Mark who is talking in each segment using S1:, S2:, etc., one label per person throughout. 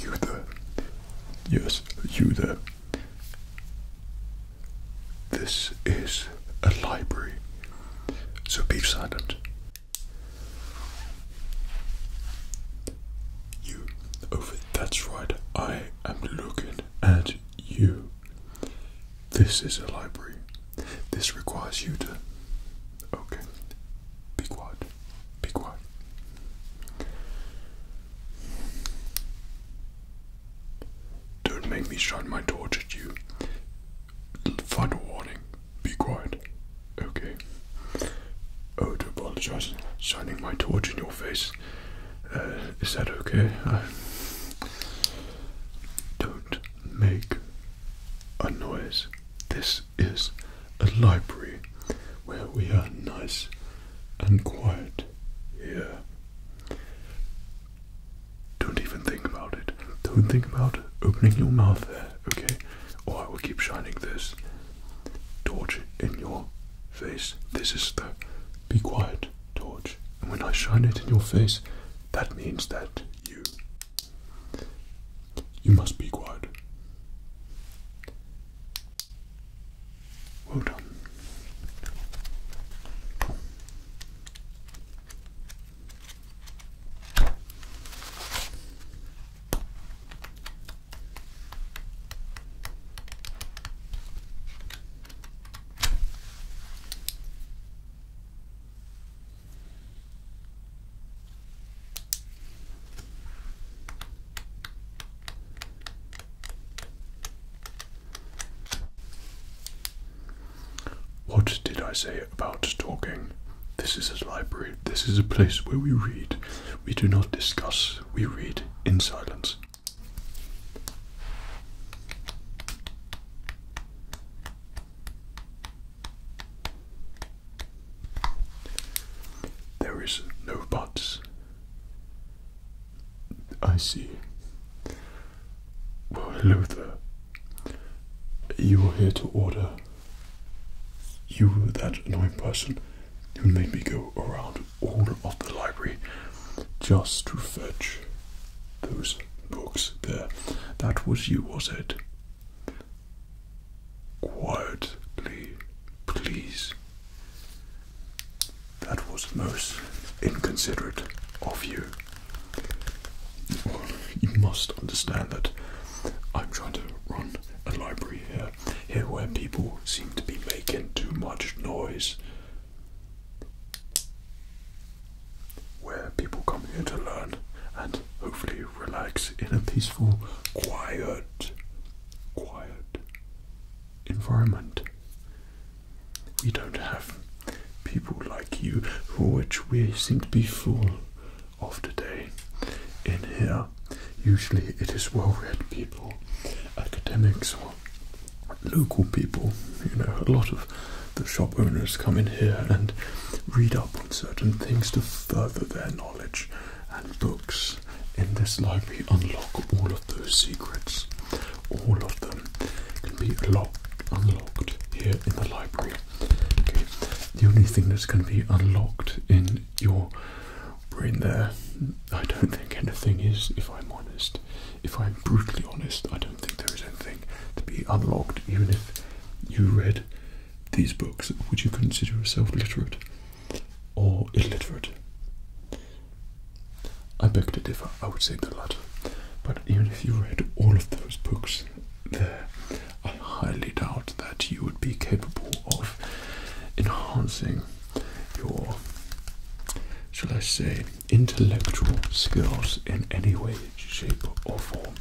S1: You Yes, you there. This is a library, so be silent. You over oh, that's right, I am looking at you. This is a library. This requires you to. Okay. Be quiet. Be quiet. Don't make me shine my torch at you. Final warning. Be quiet. Okay. Oh, to apologize. Shining my torch in your face. Uh, is that okay? Don't make a noise. This is a library where we are nice and quiet here. Don't even think about it. Don't think about opening your mouth there, okay? Or I will keep shining this torch in your face. This is the be quiet torch, and when I shine it in your face, that means that you. You must be quiet. Well done. What did I say about talking? This is a library. This is a place where we read. We do not discuss, we read in silence. There is no buts. I see. Well, You were here to order. You, that annoying person who made me go around all of the library just to fetch those books there. That was you, was it? Quietly, please. That was most inconsiderate of you. you must understand that I'm trying to run a library here, here where people seem to be making too much noise where people come here to learn and hopefully relax in a peaceful, quiet, quiet environment. We don't have people like you, for which we seem to be full of today. In here, usually it is well read people, academics local people, you know, a lot of the shop owners come in here and read up on certain things to further their knowledge, and books in this library unlock all of those secrets. All of them can be unlocked here in the library. Okay, the only thing that's going to be unlocked in your brain there, I don't think anything is, if I'm honest if I'm brutally honest, I don't think there is anything to be unlocked, even if you read these books. Would you consider yourself literate or illiterate? I beg to differ, I would say the latter. But even if you read all of those books there, I highly doubt that you would be capable of enhancing your, shall I say, intellectual skills in any way, shape, or form.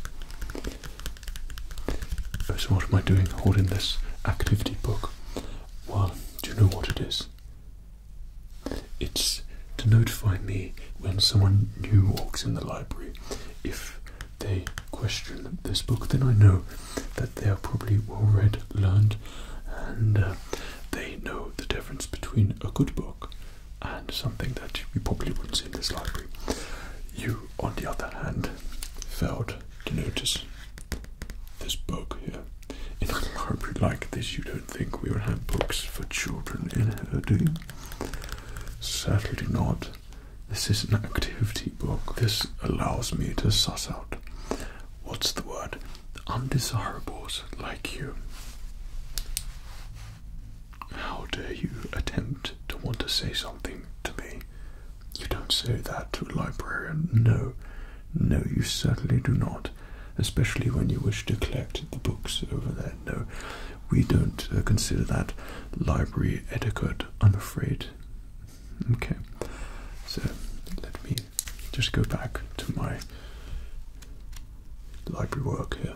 S1: Uh, so, what am I doing holding this activity book? Well, do you know what it is? It's to notify me when someone new walks in the library. If they question this book, then I know that they are probably well read, learned, and uh, they know the difference between a good book and something that we probably wouldn't see in this library. You, on the other hand, failed to notice this book here. In a library like this, you don't think we would have books for children in here, do you? Certainly not. This is an activity book. This allows me to suss out what's the word? Undesirables like you. How dare you attempt to want to say something to me? You don't say that to a librarian. No, no, you certainly do not. Especially when you wish to collect the books over there. No, we don't uh, consider that library etiquette, I'm afraid. Okay, so let me just go back to my library work here.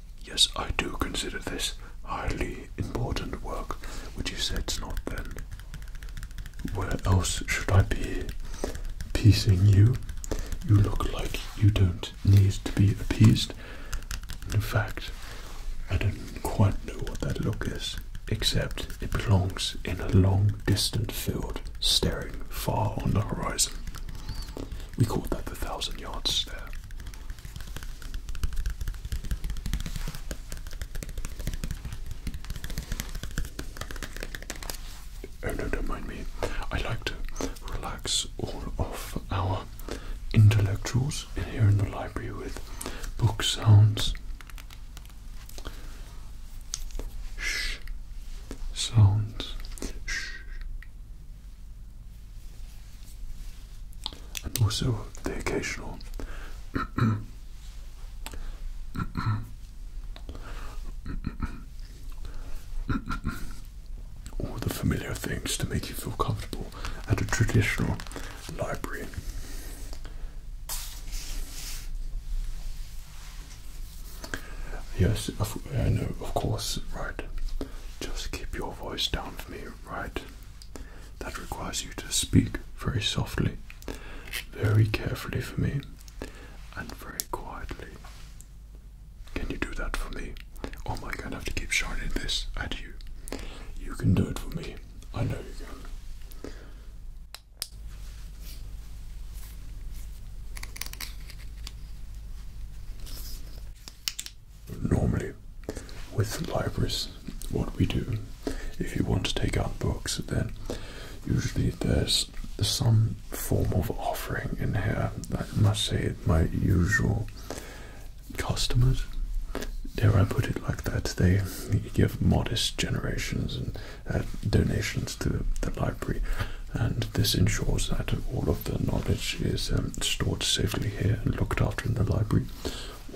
S1: Yes, I do consider this highly important work, which you said it's not then. Where else should I be piecing you? You look like you don't need to be appeased. In fact, I don't quite know what that look is, except it belongs in a long distant field staring far on the horizon. We call that the thousand yard stare. Oh no, don't mind me. I like to relax all of our intellectuals here in the library with book sounds. Shh sounds. Shh and also the occasional all the familiar things to make you feel comfortable at a traditional library. Yes, I know, uh, of course, right. Just keep your voice down for me, right? That requires you to speak very softly, very carefully for me, and very quietly. Can you do that for me? Or oh am I have to keep shining this at you? You can do it for me. I know you can normally with libraries, what we do, if you want to take out books, then usually there's some form of offering in here. I must say, my usual customers, dare I put it like that, they give modest generations and uh, donations to the library, and this ensures that all of the knowledge is um, stored safely here and looked after in the library.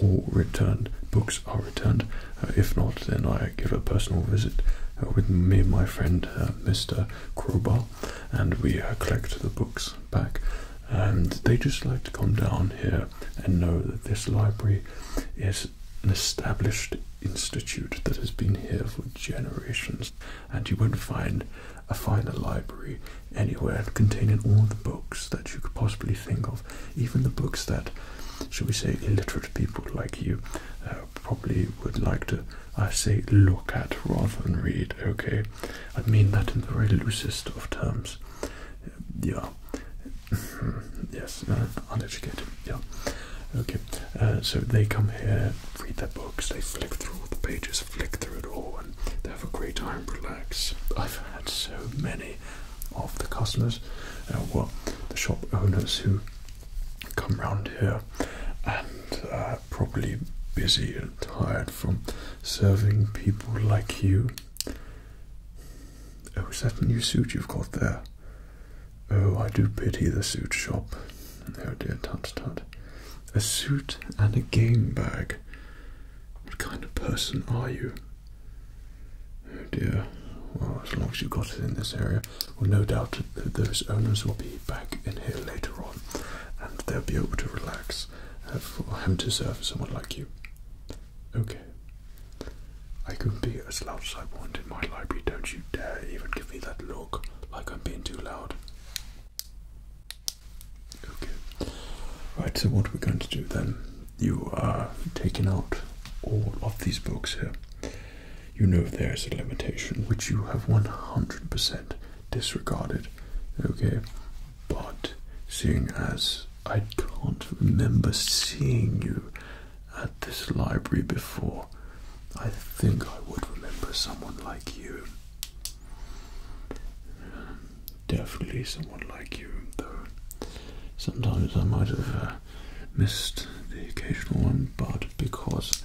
S1: All returned. Books are returned. Uh, if not, then I give a personal visit uh, with me my friend uh, Mr. Crowbar, and we collect the books back. And they just like to come down here and know that this library is an established institute that has been here for generations, and you won't find a finer library anywhere containing all the books that you could possibly think of, even the books that, shall we say, illiterate people like you uh, probably would like to, I say, look at rather than read, okay? I mean that in the very loosest of terms. Uh, yeah. yes, uh, uneducated, yeah. Okay, so they come here, read their books, they flick through all the pages, flick through it all, they have a great time, relax. I've had so many of the customers, uh, well, the shop owners who come round here and uh, probably busy and tired from serving people like you. Oh, is that a new suit you've got there? Oh, I do pity the suit shop. Oh dear, tut tut. A suit and a game bag. What kind of person are you? Oh dear. Well, as long as you've got it in this area, well, no doubt those owners will be back in here later on, and they'll be able to relax uh, for him to serve someone like you. Okay. I can be as loud as I want in my library. Don't you dare even give me that look like I'm being too loud. Okay. Right, so what we're going to do then, you are taking out all of these books here. You know there's a limitation which you have 100% disregarded, okay? But seeing as I can't remember seeing you at this library before, I think I would remember someone like you definitely someone like you, though sometimes I might have uh, missed the occasional one, but because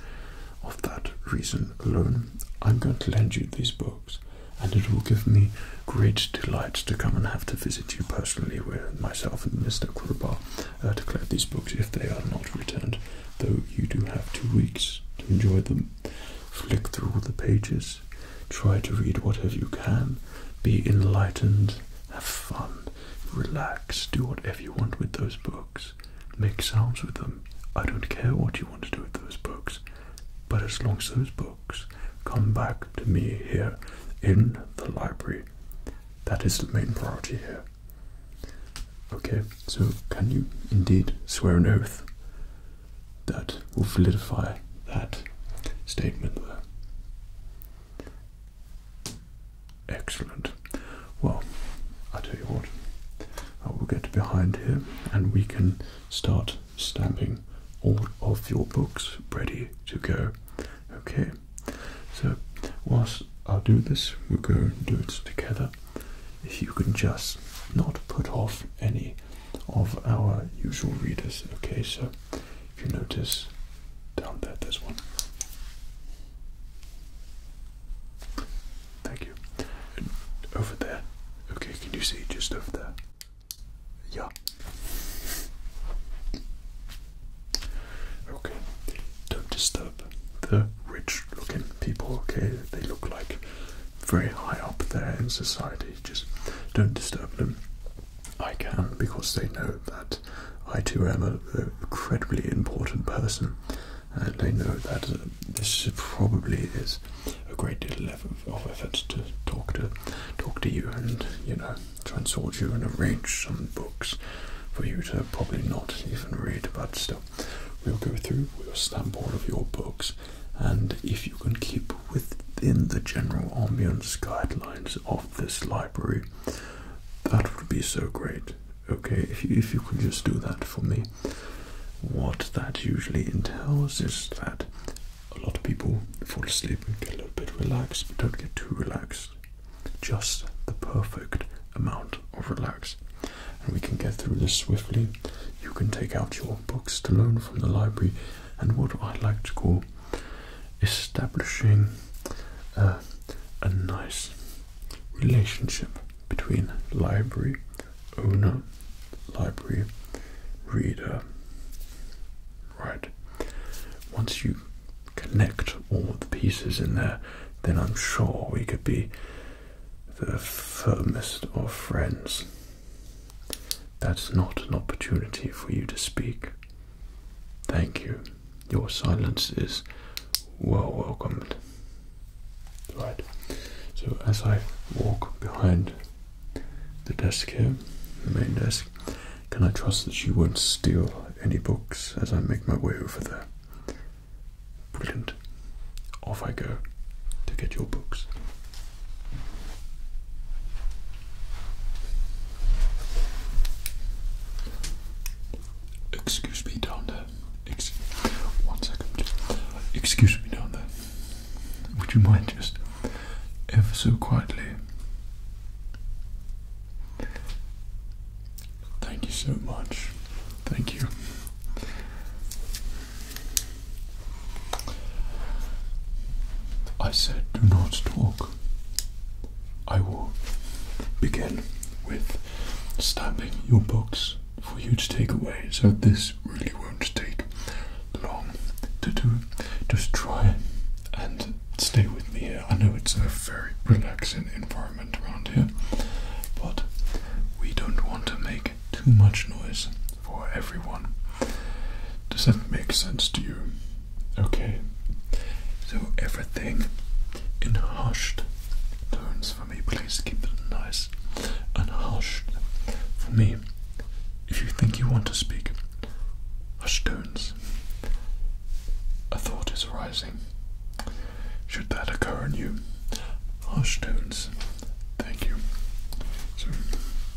S1: of that reason alone, I'm going to lend you these books, and it will give me great delight to come and have to visit you personally with myself and Mr. Crowbar uh, to collect these books if they are not returned, though you do have two weeks to enjoy them. Flick through all the pages Try to read whatever you can. Be enlightened. Have fun. Relax. Do whatever you want with those books. Make sounds with them. I don't care what you want to do with those books. But as long as those books come back to me here in the library, that is the main priority here. Okay, so can you indeed swear an oath? that will validify that statement there. Excellent. Well, I tell you what, I will get behind here and we can start stamping all of your books ready to go. Okay, so whilst I'll do this, we'll go and do it together. If you can just not put off any of our usual readers. Okay, so if you notice down there, there's one. Thank you. over there. Okay, can you see just over there? Yeah. Okay, don't disturb the rich looking people, okay? They look like very high up there in society just don't disturb them. I can because they know that I too am an incredibly important person, and they know that uh, this probably is a great deal of, effort to talk to talk to you and you know try and sort you and arrange some books for you to probably not even read, but still we'll go through, we'll stamp all of your books and if you can keep within the general ambience guidelines of this library, that would be so great. Okay, if you, if you could just do that for me. What that usually entails is that a lot of people fall asleep and get a little bit relaxed, but don't get too relaxed. Just the perfect amount of relax. And we can get through this swiftly. You can take out your books to loan from the library and what I like to call establishing a nice relationship between library owner, library reader. Right. Once you connect all the pieces in there, then I'm sure we could be the firmest of friends. That's not an opportunity for you to speak. Thank you. Your silence is well welcomed. Right. So as I walk behind the desk here, the main desk, can I trust that you won't steal any books as I make my way over there? Brilliant. Off I go to get your books. Excuse me down there. Ex Excuse me down there. Would you mind just ever so quietly? Thank you so much. Thank you. I said, do not talk. I will begin with stamping your box for you to take away. So this really won't take long to do. Just try and stay with me I know it's a very relaxing environment around here, but we don't want to make too much noise for everyone. Does that make sense to you? Okay. So everything in hushed tones for me. Please keep it nice and hushed for me. If you think you want to speak, hushed tones. A thought is arising. Should that occur in you, hushed tones. Thank you. So,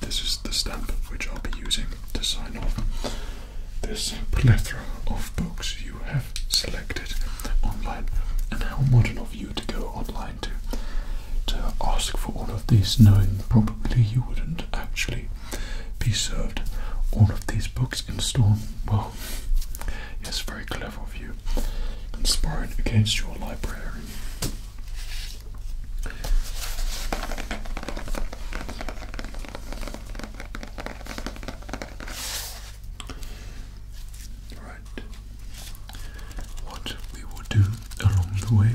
S1: this is the stamp which I'll be using to sign off this plethora of books you have selected online and how modern of you to go online to to ask for all of these knowing probably you wouldn't actually be served all of these books in store well yes very clever of you conspiring against your librarian Right. What we will do along the way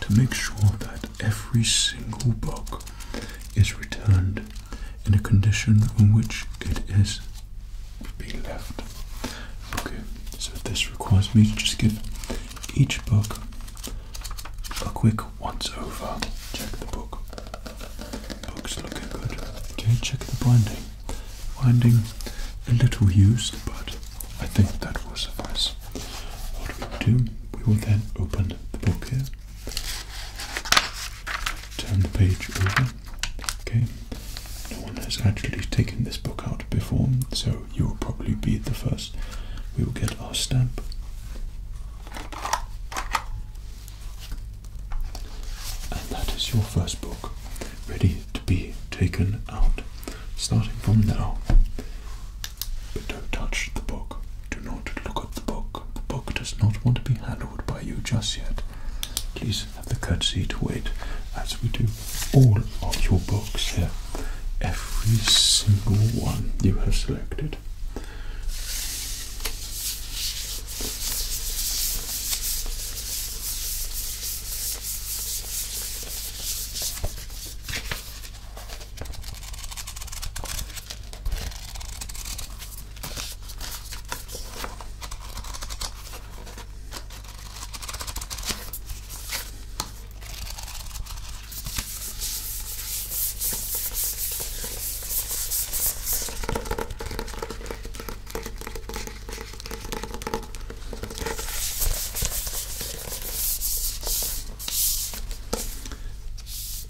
S1: to make sure that every single book is returned in a condition in which it is being left. Okay, so this requires me to just give each book. A quick once over. Check the book. Book's looking good. Do check the binding? Binding a little used, but I think that will suffice. What we do, we will then open the book here. Turn the page over. Okay. No one has actually taken this book out before, so you will probably be the first. We will get our stamp. And that is your first book, ready to be taken out. Starting from now. But don't touch the book. Do not look at the book. The book does not want to be handled by you just yet. Please have the courtesy to wait as we do all of your books here every single one you have selected.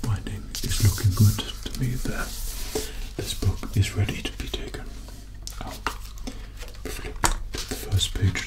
S1: Winding is looking good to me there. This book is ready to be taken out. the first page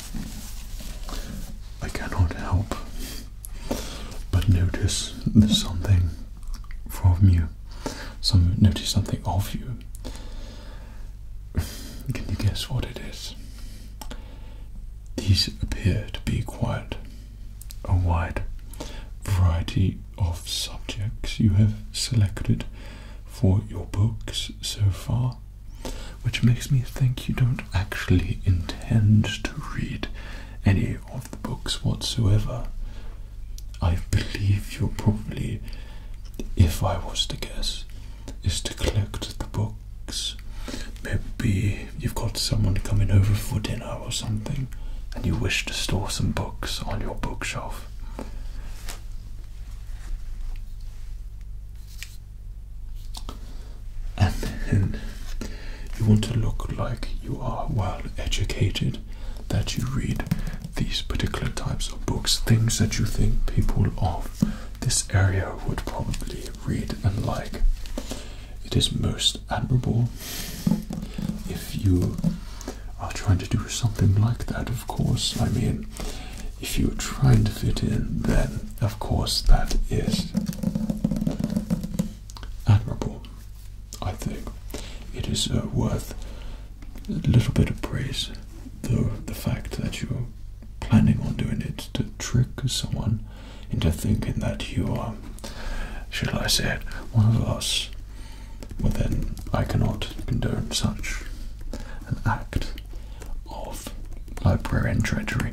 S1: I cannot help but notice something from you. Some notice something of you. Can you guess what it is? These appear to be quite a wide variety of subjects you have selected for your books so far. Which makes me think you don't actually intend to read any of the books whatsoever. I believe you're probably, if I was to guess, is to collect the books. Maybe you've got someone coming over for dinner or something, and you wish to store some books on your bookshelf and then you want to look like you are well educated, that you read these particular types of books, things that you think people of this area would probably read and like. It is most admirable if you are trying to do something like that, of course. I mean, if you're trying to fit in, then of course, that is admirable. I think it is uh, worth a little bit of praise, though the fact that you're planning on doing it to trick someone into thinking that you are, shall I say it, one of us. Well, then I cannot condone such an act of library and treasury.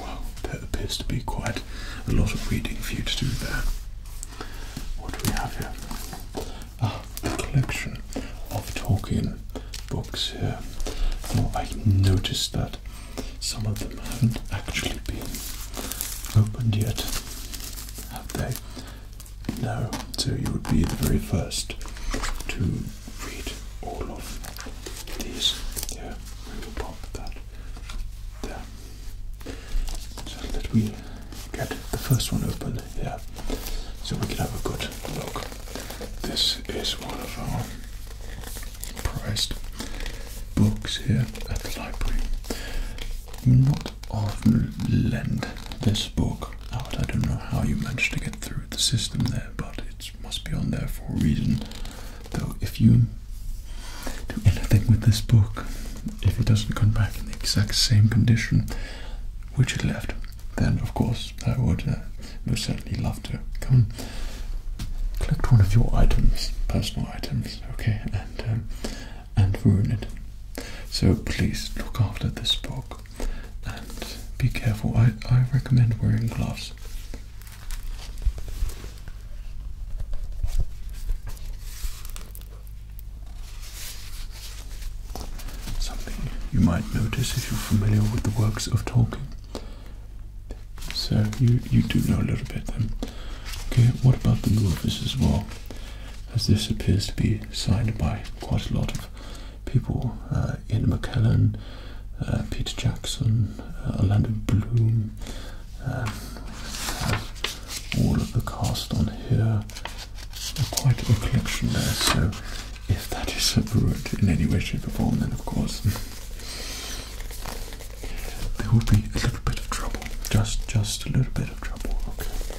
S1: Well, that appears to be quite a lot of reading for you to do there. What do we have here? Ah, a collection of Tolkien books here. Now, I noticed that some of them haven't actually been opened yet, have they? No, so you would be the very first to read all of these. Yeah, we will pop that there. So let me get the first one open here so we can have a good look. This is one of our prized books here at the library. Not of lend this book out. I don't know how you managed to get through the system there, but it must be on there for a reason. Though, if you do anything with this book, if it doesn't come back in the exact same condition which it left, then of course I would uh, most certainly love to come and collect one of your items, personal items, okay, um, and ruin it. So please look after this book and be careful. I, I recommend wearing gloves. Something you might notice if you're familiar with the works of Tolkien. So you you do know a little bit then. Okay, what about the movies as well? as this appears to be signed by quite a lot of people. Uh, Ian McKellen, uh, Peter Jackson, uh, Orlando Bloom, um, all of the cast on here. Quite a collection there, so if that is abhorrent in any way, shape, or form, then of course there will be a little bit of trouble. Just, just a little bit of trouble. Okay.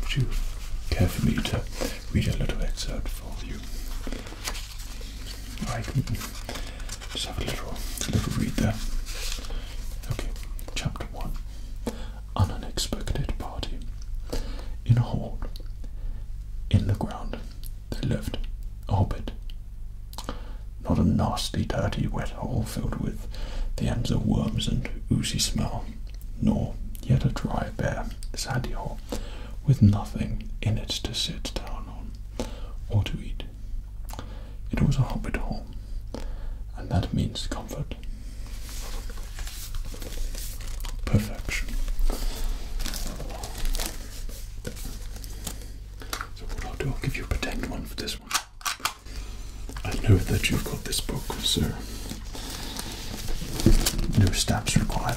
S1: Would you care for me to read a little excerpt for you? I can just have a little, little read there. Okay, chapter one. An unexpected party. In a hall, in the ground, they lived a hobbit not a nasty, dirty, wet hole filled with the ends of worms and oozy smell, nor yet a dry, bare, sandy hole with nothing in it to sit down on or to eat. It was a hobbit hole, and that means comfort. Perfection. So, I'll give you a pretend one for this one. I know that you've got this book, sir. no stamps required.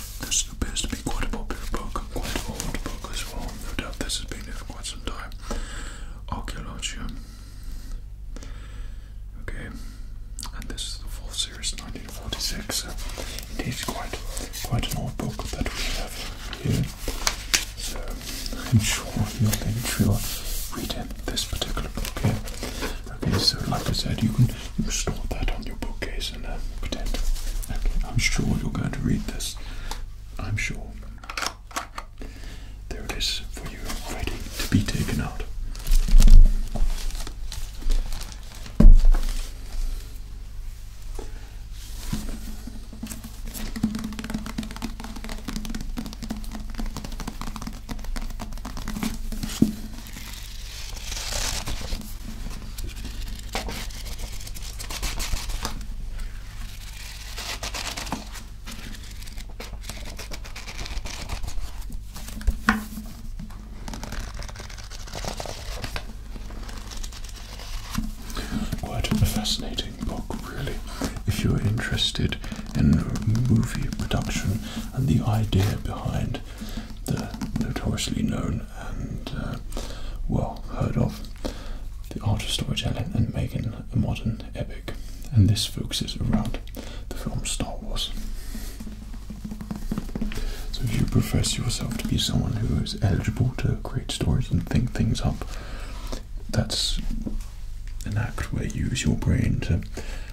S1: This appears to be quite a popular book, quite an old book as well. No doubt this has been here for quite some time. Archaeologia. Okay, and this is the fourth series, 1946. it is quite, quite an old book that we have here. So I'm sure you'll enjoy reading this particular book here. Okay, so like I said, you can, store that on your bookcase and uh, pretend. I'm sure you're going to read this. I'm sure. There it is for you, ready to be taken out. Quite a fascinating book, really. If you're interested in movie production and the idea behind the notoriously known and uh, well heard of the art of storytelling and making a modern epic. And this focuses around the film Star Wars. So, if you profess yourself to be someone who is eligible to create stories and think things up, that's an act where you use your brain to,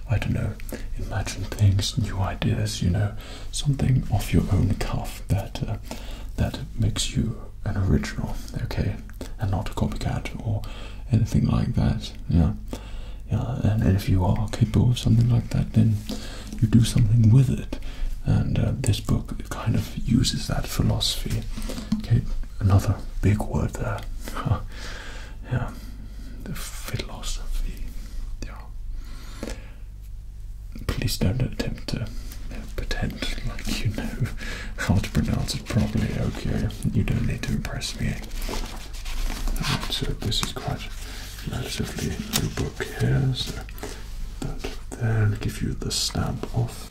S1: I don't know, imagine things, new ideas, you know, something off your own cuff that uh, that makes you an original, okay, and not a copycat or anything like that. Yeah, yeah. And, if you are capable of something like that, then you do something with it. And uh, this book kind of uses that philosophy. Okay, another big word there. yeah, the philosophy. Yeah. Please don't attempt to pretend like you know how to pronounce it properly, okay? You don't need to impress me. Right, so this is quite relatively new book here, so that there will give you the stamp off.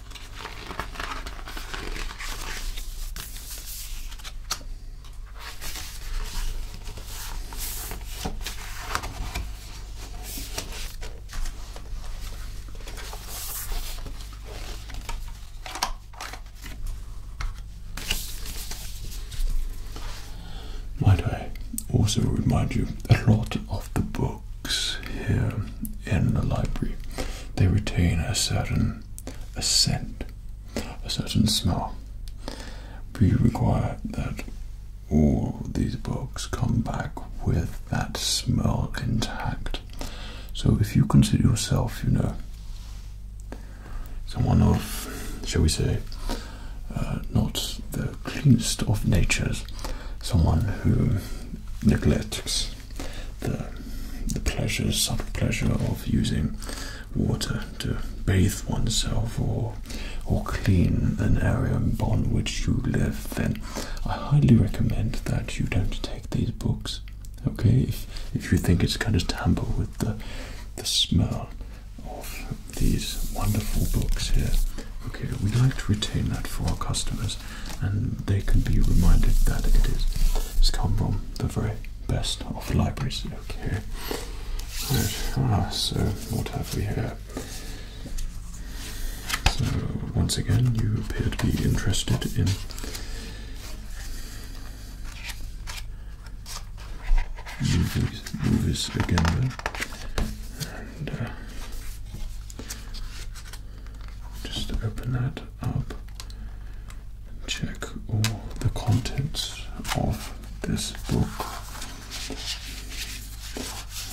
S1: Might I also remind you, a lot of the book? books here in the library, they retain a certain scent, a certain smell. We require that all these books come back with that smell intact. So if you consider yourself, you know, someone of, shall we say, uh, not the cleanest of natures, someone who neglects the the pleasure, subtle pleasure of using water to bathe oneself or or clean an area in upon which you live, then I highly recommend that you don't take these books. Okay, if if you think it's going to tamper with the the smell of these wonderful books here. Okay, we would like to retain that for our customers and they can be reminded that it is it's come from the very best of libraries. Okay. Right. Ah, so what have we here? So once again, you appear to be interested in. Movies, movies again just open that up and check all the contents of this book.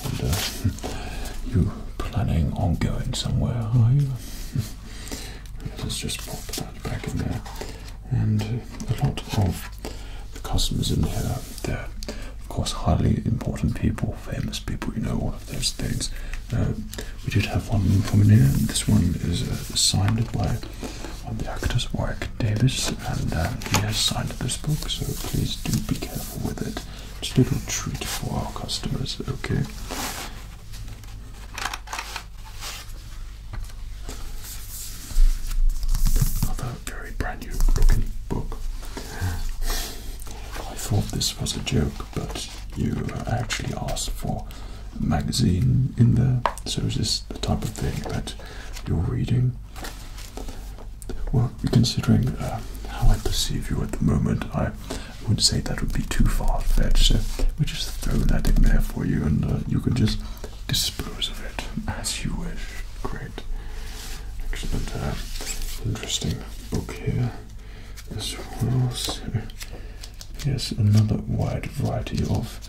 S1: And uh, you planning on going somewhere, are you? Let's just pop that back in there. And a lot of the customers in here, they're of course highly important people famous people, you know, all of those things. Um, we did have one from here, and This one is uh, signed by the actors, Warwick Davis, and uh, he has signed this book, so please do be careful with it. Just a little treat for our customers, okay? Another very brand new looking book. I thought this was a joke but you actually asked for a magazine in there. So is this the type of thing that you're reading? Well, considering uh, how I perceive you at the moment, I would say that would be too far-fetched. So we just throw that in there for you, and uh, you can just dispose of it as you wish. Great. Excellent. Uh, interesting book here as well. yes, another wide variety of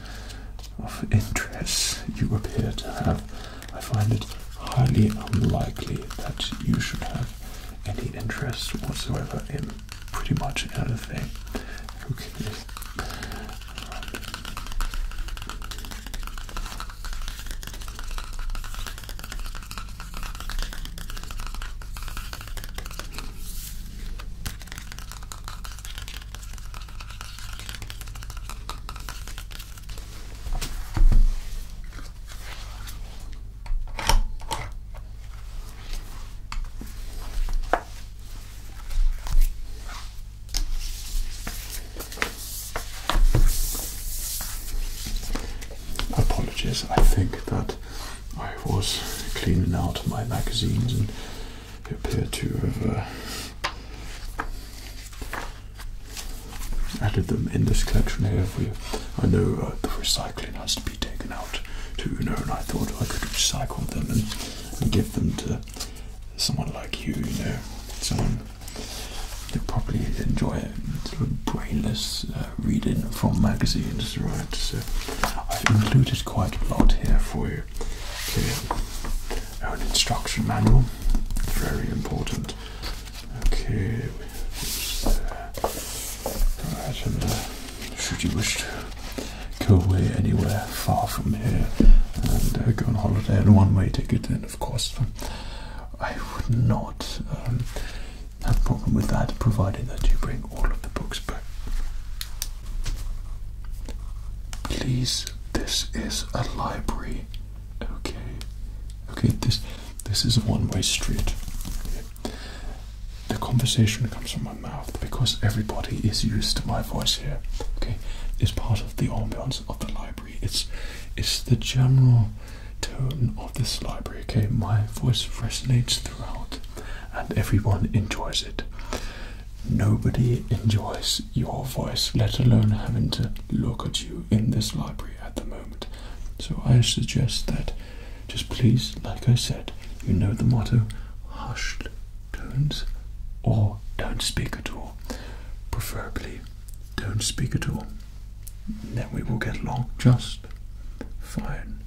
S1: of interests you appear to have. I find it highly unlikely that you should have any interest whatsoever in pretty much anything. Okay. Apologies, I think that I was cleaning out my magazines and appeared to have uh, added them in this collection here. We, I know uh, the recycling has to be taken out too, you know, and I thought I could recycle them and, give them to someone like you, you know, someone that probably enjoy a brainless uh, reading from magazines, right? So I've included quite a lot here for you. Okay, our instruction manual, very important. Okay, right, and should you wish to go away anywhere far from here and uh, go on holiday on one way ticket, then of course. I would not um, no problem with that, provided that you bring all of the books back. Please, this is a library. Okay. Okay, this this is a one-way street. The conversation comes from my mouth because everybody is used to my voice here. Okay. It's part of the ambiance of the library. It's it's the general tone of this library, okay? My voice resonates throughout and everyone enjoys it. Nobody enjoys your voice, let alone having to look at you in this library at the moment. So I suggest that just please, like I said, you know the motto hushed tones or don't speak at all. Preferably, don't speak at all then we will get along just fine.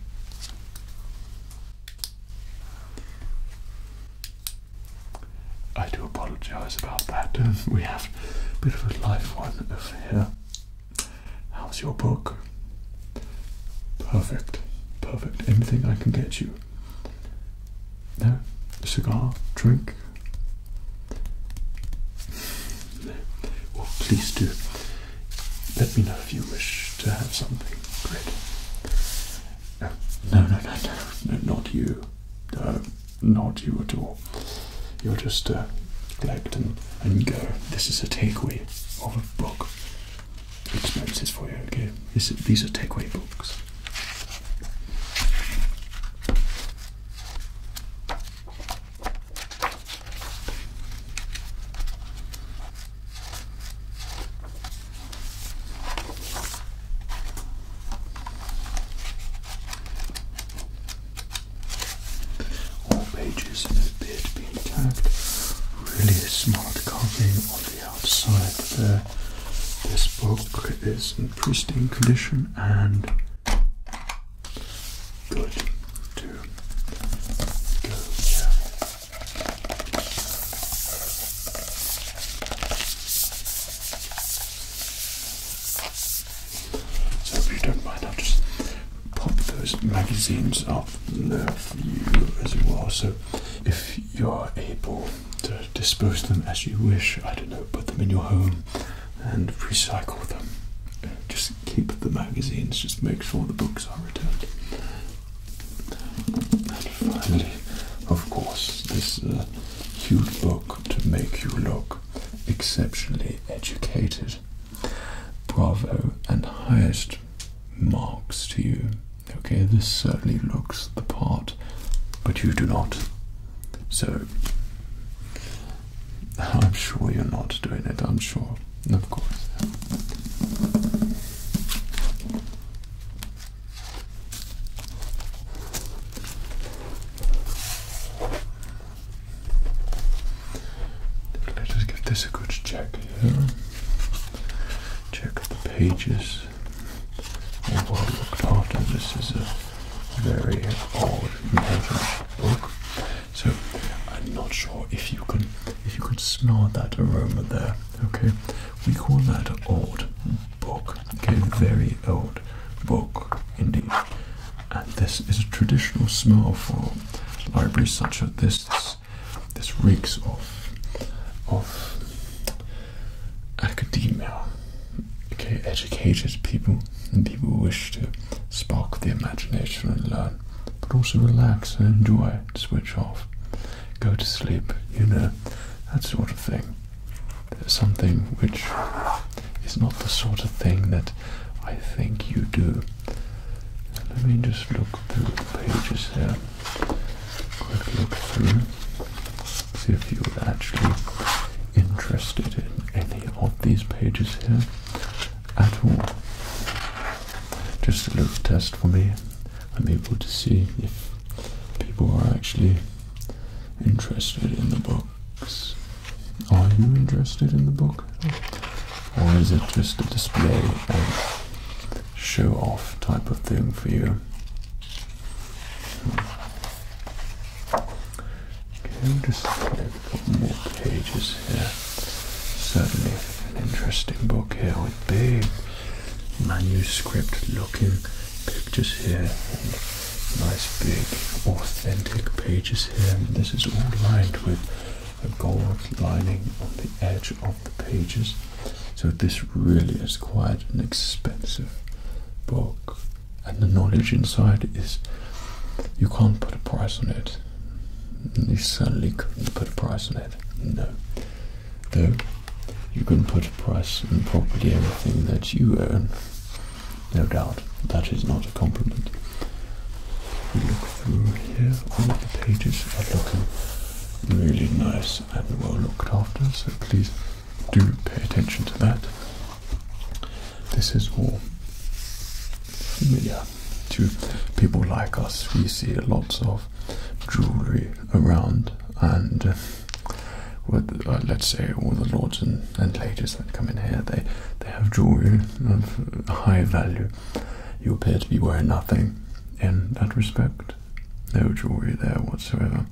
S1: I do apologise about that. we have a bit of a life one here. How's your book? Perfect, perfect. Anything I can get you? No? cigar? Drink? Well, please do. Let me know if you wish to have something. Great. No, no, no, no, not you. not you at all. You're just uh, collect and, go. This is a takeaway of a book. Expenses for you, okay? these are takeaway books. All pages in a bit being Really smart covering on the outside there. This book is in pristine condition and good to go. So if you don't mind, I'll just pop those magazines up there for you as well. So if you're able to dispose of them as you wish, I don't know, put them in your home and recycle them. Just keep the magazines, just make sure the books are returned. And finally, of course, this uh, huge book to make you look exceptionally educated. Bravo and highest marks to you. Okay, this certainly looks the part, but you do not. So, I'm sure you're not doing it, I'm sure. Of course. Let us give this a good check Check the pages. All well looked after. This is a very old book. So I'm not sure if you can if you could smell that aroma there. Okay, we call that old book. Okay, very old book indeed. And this is a traditional smell for libraries such as this. This, reeks of of academia. Okay, educated people and people who wish to spark the imagination and learn but also relax and enjoy, switch off, go to sleep, you know, that sort of thing. There's something which is not the sort of thing that I think you do. Let me just look through the pages here. Quick look through. See if you're actually interested in any of these pages here at all just a little test for me. I'm able to see if people are actually interested in the books. Are you interested in the book? Or is it just a display and show off type of thing for you? Okay, just a more pages here. Certainly an interesting book here with big manuscript looking pictures here. Nice big authentic pages here. this is all lined with a gold lining on the edge of the pages. So this really is quite an expensive book. And the knowledge inside is you can't put a price on it. You certainly couldn't put a price on it. No. Though you can put a price on property, everything that you own. No doubt. That is not a compliment. You look through here, all the pages are looking really nice and well looked after, so please do pay attention to that. This is all familiar to people like us. We see lots of jewelry around, and uh, with, uh, let's say all the lords and, and ladies that come in here, they they have jewelry of high value. You appear to be wearing nothing in that respect. No jewelry there whatsoever.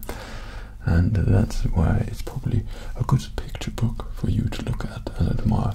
S1: And that's why it's probably a good picture book for you to look at and admire.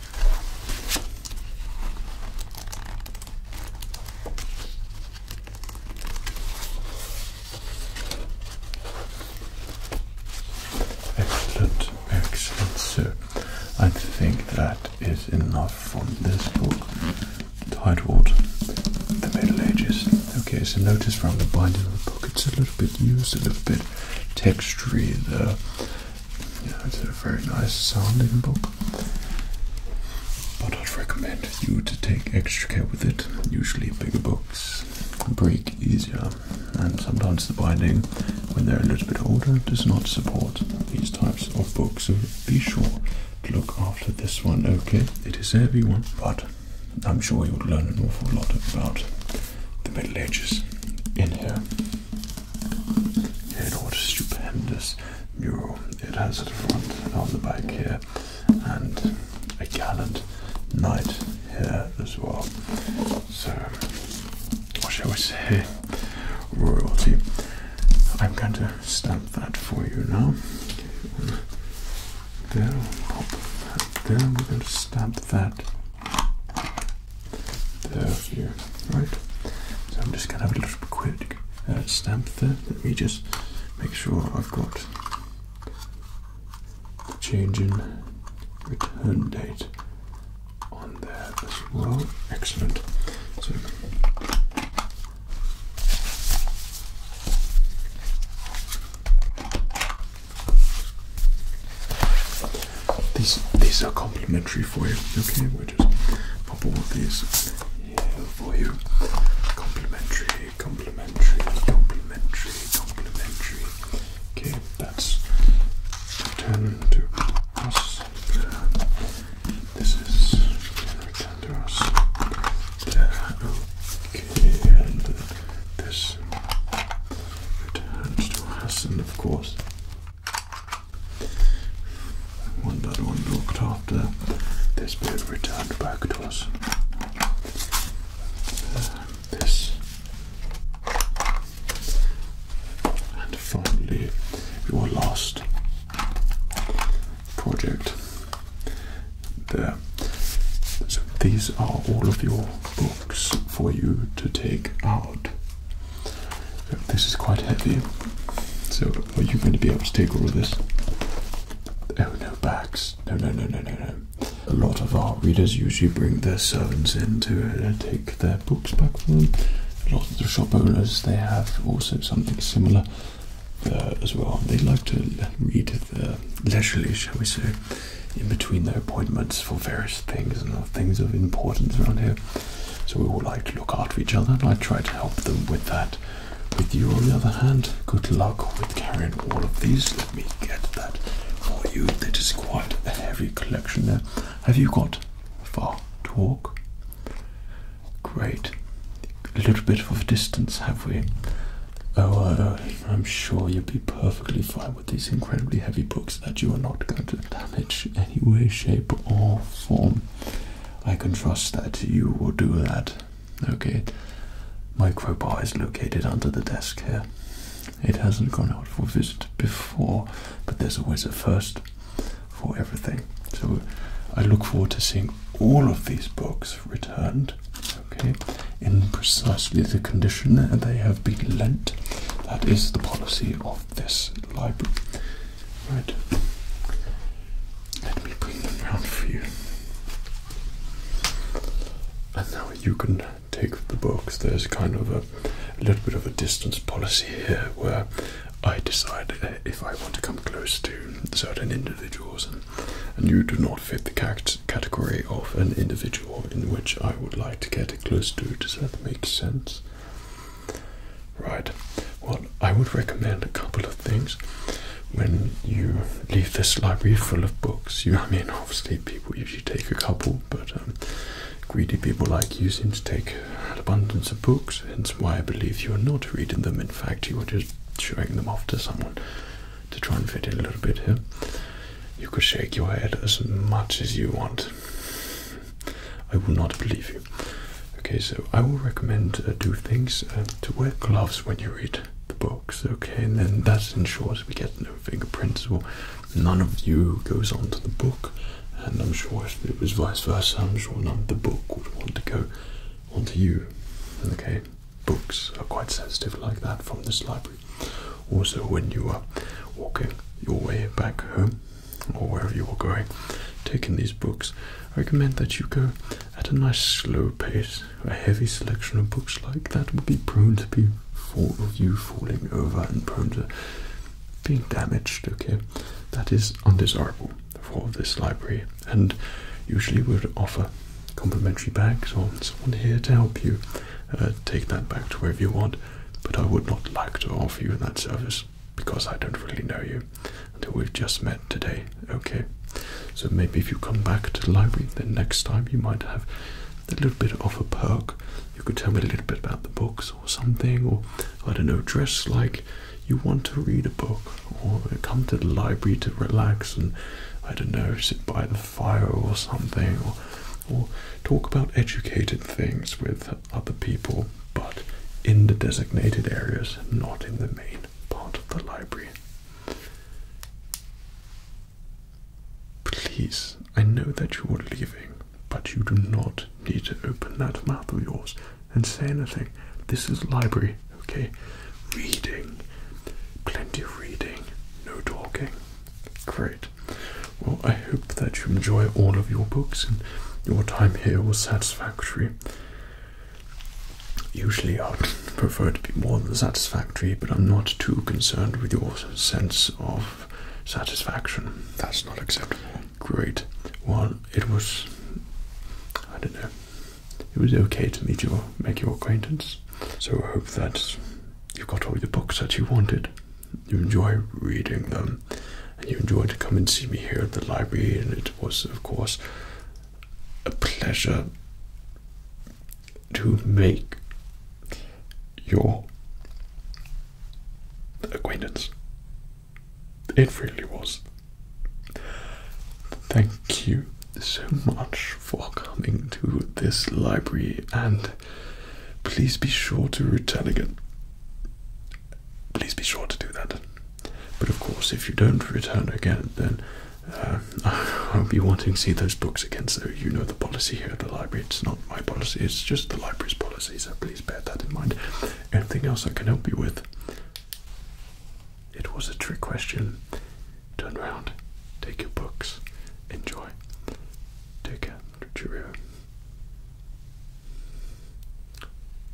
S1: Excellent, excellent. So I think that is enough for this book. Tidewater, The Middle Ages. Okay, so notice from the binding of the book, it's a little bit used, a little bit textury there it's a very nice sounding book. But I'd recommend you to take extra care with it. Usually bigger books break easier and sometimes the binding when they're a little bit older does not support these types of books. So be sure to look after this one, okay? It is heavy one, but I'm sure you'll learn an awful lot about the Middle Ages in here. Here, what a stupendous mural it has at the front and on the back here, and a gallant knight here as well. So, what shall we say? Royalty. I'm going to stamp that for you now. There, pop that there. We're going to stamp that there for you, right? So I'm just going to have a little quick uh, Let me just make sure I've got the change in return date on there as well. Excellent. So these these are complimentary for you. Okay, just pop all these here for you. Complimentary, complimentary, complimentary, complimentary. Okay, that's return to us. This is return to us. Okay, and this returns to us, and of course. One by one looked after this bird returned back to us. Uh, this. And finally, your last project. There. So these are all of your books for you to take out this is quite heavy, so are you going to be able to take all of this? Oh, no bags. No, no, no, no, no, no. A lot of our readers usually bring their servants in to uh, take their books back from them. Lots of the shop owners, they have also something similar uh, as well. They like to read uh, leisurely, shall we say, in between their appointments for various things and things of importance around here. So we all like to look after each other, and I try to help them with that. With you, on the other hand, good luck with carrying all of these. Let me get that for you. That is quite a heavy collection there. Have you got far to walk? Great. A little bit of a distance, have we? Oh, uh, I'm sure you'll be perfectly fine with these incredibly heavy books that you are not going to damage in any way, shape, or form. I can trust that you will do that. Okay. My crowbar is located under the desk here. It hasn't gone out for visit before, but there's always a first for everything. So I look forward to seeing all of these books returned, okay, in precisely the condition that they have been lent. That is the policy of this library. Right. Let me bring them round for you. And now you can take the box. There's kind of a, little bit of a distance policy here where I decide uh, if I want to come close to certain individuals, and, and you do not fit the category of an individual in which I would like to get close to. Does that make sense? Right. Well, I would recommend a couple of things when you leave this library full of books. You, I mean, obviously people usually take a couple, but um, greedy people like you seem to take an abundance of books. Hence, why I believe you are not reading them. In fact, you are just showing them off to someone to try and fit in a little bit here. You could shake your head as much as you want. I will not believe you. Okay, so I will recommend uh, two things: uh, to wear gloves when you read the books. Okay, and then that ensures we get no fingerprints or none of you goes onto the book. And I'm sure it was vice versa, I'm sure none of the book would want to go onto you. Okay, books are quite sensitive like that from this library. Also, when you are walking your way back home, or wherever you are going, taking these books, I recommend that you go at a nice slow pace. A heavy selection of books like that would be prone to be full of you falling over and prone to being damaged, okay? That is undesirable for this library and usually we would offer complimentary bags or someone here to help you uh, take that back to wherever you want, but I would not like to offer you that service because I don't really know you until we've just met today. Okay, so maybe if you come back to the library, then next time you might have a little bit of a perk. You could tell me a little bit about the books or something, or I don't know, dress like you want to read a book, or come to the library to relax and I don't know, sit by the fire or something, or talk about educated things with other people but in the designated areas, not in the main part of the library. Please, I know that you are leaving, but you do not need to open that mouth of yours and say anything. This is library, okay? Reading. Plenty of reading. No talking. Great. Well, I hope that you enjoy all of your books and your time here was satisfactory. Usually, I would prefer it to be more than satisfactory, but I'm not too concerned with your sense of satisfaction. That's not acceptable. Great. Well, it was. I don't know. It was okay to meet you, make your acquaintance. So I hope that you have got all the books that you wanted. You enjoy reading them, and you enjoyed to come and see me here at the library. And it was, of course, a pleasure to make your acquaintance. It really was. Thank you so much for coming to this library and please be sure to retell again. Please be sure to do that. But of course, if you don't return again, then uh, I'll be wanting to see those books again. So you know the policy here at the library. It's not my policy, it's just the library's policy. So please bear that in mind. Anything else I can help you with? It was a trick question. Turn around, take your books, enjoy. Take care. Cheerio.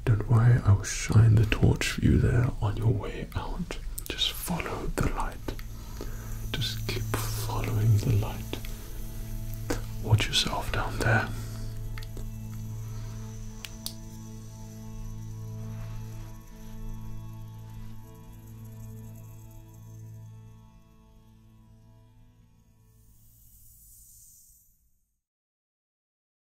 S1: Don't worry, I will shine the torch for you there on your way out. Just follow the light. Just keep following the light. Watch yourself down there.